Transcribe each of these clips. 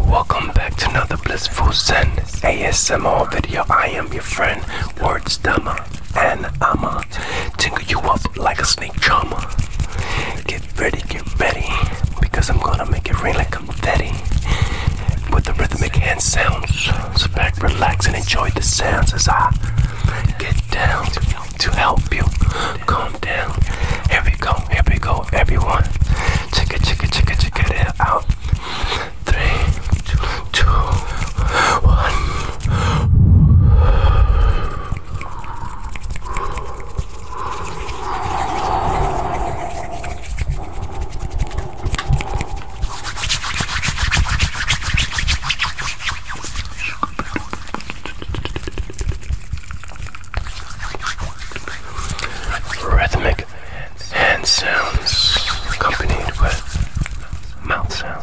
Welcome back to another Blissful Zen ASMR video. I am your friend, Words Dama, and I'ma tingle you up like a snake charmer. Get ready, get ready, because I'm gonna make it rain like confetti with the rhythmic hand sounds. so back, relax, and enjoy the sounds as I get down to help you calm down. Here we go, here we go, everyone. Check it, check it, check it, check it out. Three, two, two, one. Rhythmic hand sounds accompanied with mouth sounds.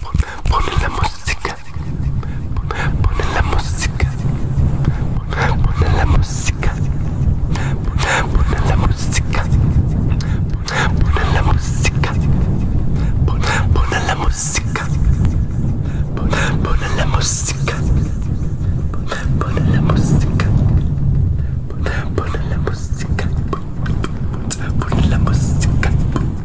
Pon la música. Pon la música. Pon la música. Pon la música. Pon la música. Pon la música. Pon la música. Pon la música. Pon la música. Pon la música.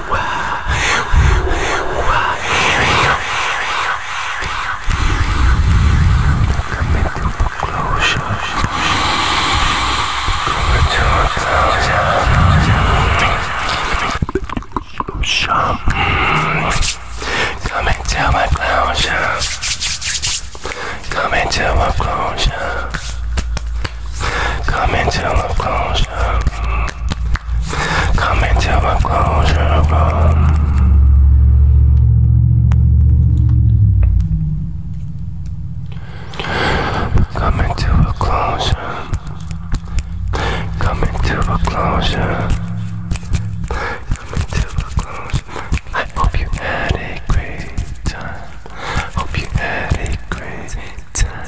Shop. Come into my clown shop. Come into my clown shop. Come into a closure. Come into oh. a closure. Come into a closure. Come into a closure. Come into a closure. I hope you had a great time. I Hope you had a great time.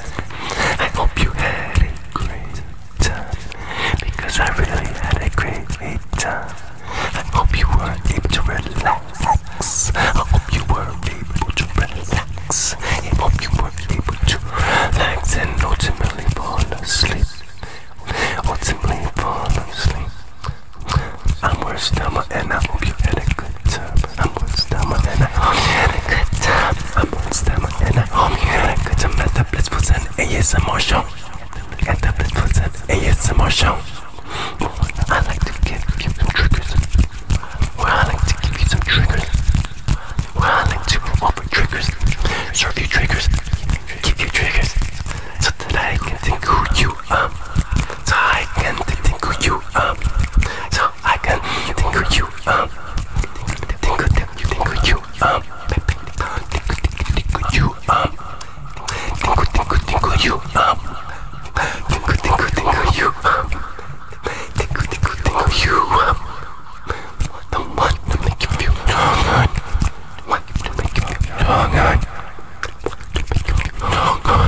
I hope you had a great time. Because I really had a great, time. I hope you were able to relax. I hope you were able to relax. I hope you were able to relax and ultimately fall asleep. Ultimately fall asleep. I'm worse than and I hope you had a good time. I'm on stamina and I'm having a good time. I'm on stamina and I'm having a good time at the Blissful Zen ASMR show. At the Blissful Zen ASMR show. I like to give you some triggers. Well, I like to give you some triggers. Well, I like to offer triggers. Serve you triggers. Give you triggers. So that I can think who you are. So I can think who you are. So I can think who you you up. Uh. Tickle, tickle you up. Tickle, tickle you up. Uh. Tickle, tickle, tickle you up. Uh. Tickle, tickle, tickle you up. Tickle, tickle, tickle you up. The one to make you feel strong. What to make you feel strong. What to make you feel strong.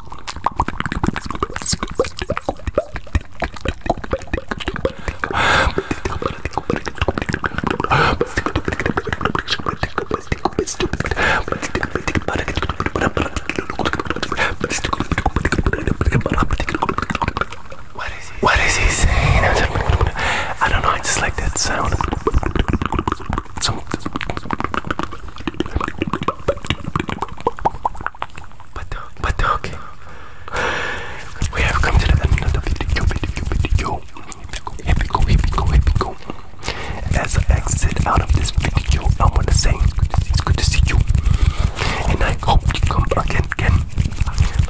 What is he? What is he saying? I don't know. I just like that sound some of okay, we have come to the end of the video. Video, video. Here we go. Here go. Here go. As I exit out of this video, I want to say it's good to see you, and I hope you come again. again.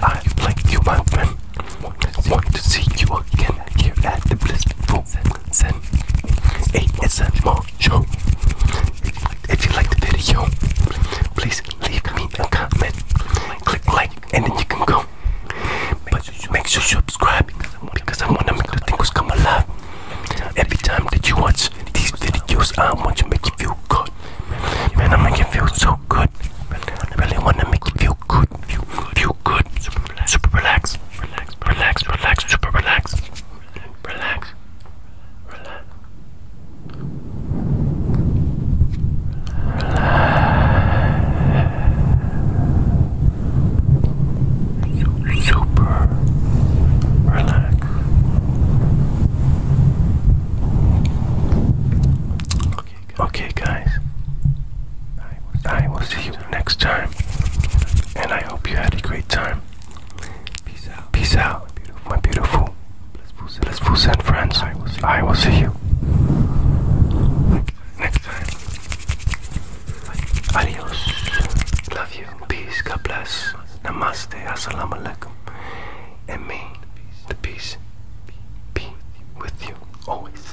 I like you, my friend. Want to see you again here at the Blissful seven, eight, and some more show. If you like the video, please leave me a comment. Click like, and then you can go. But make sure you subscribe because I I'm to make the things come alive. Every time that you watch these videos, I want to make you feel good. Man, I make you feel so good. I really want to make you feel good. Feel good. Feel good super relax, relax, relax, relax, super relax, relax, relax, relax, super relax. Okay, guys. I will see you next time. And I hope you had a great time. Peace out. Peace out, my beautiful, blissful and friends. I will see you, I will see you. next time. Adios. Love you. Peace. God bless. Namaste. Assalamu And may the peace be with you always.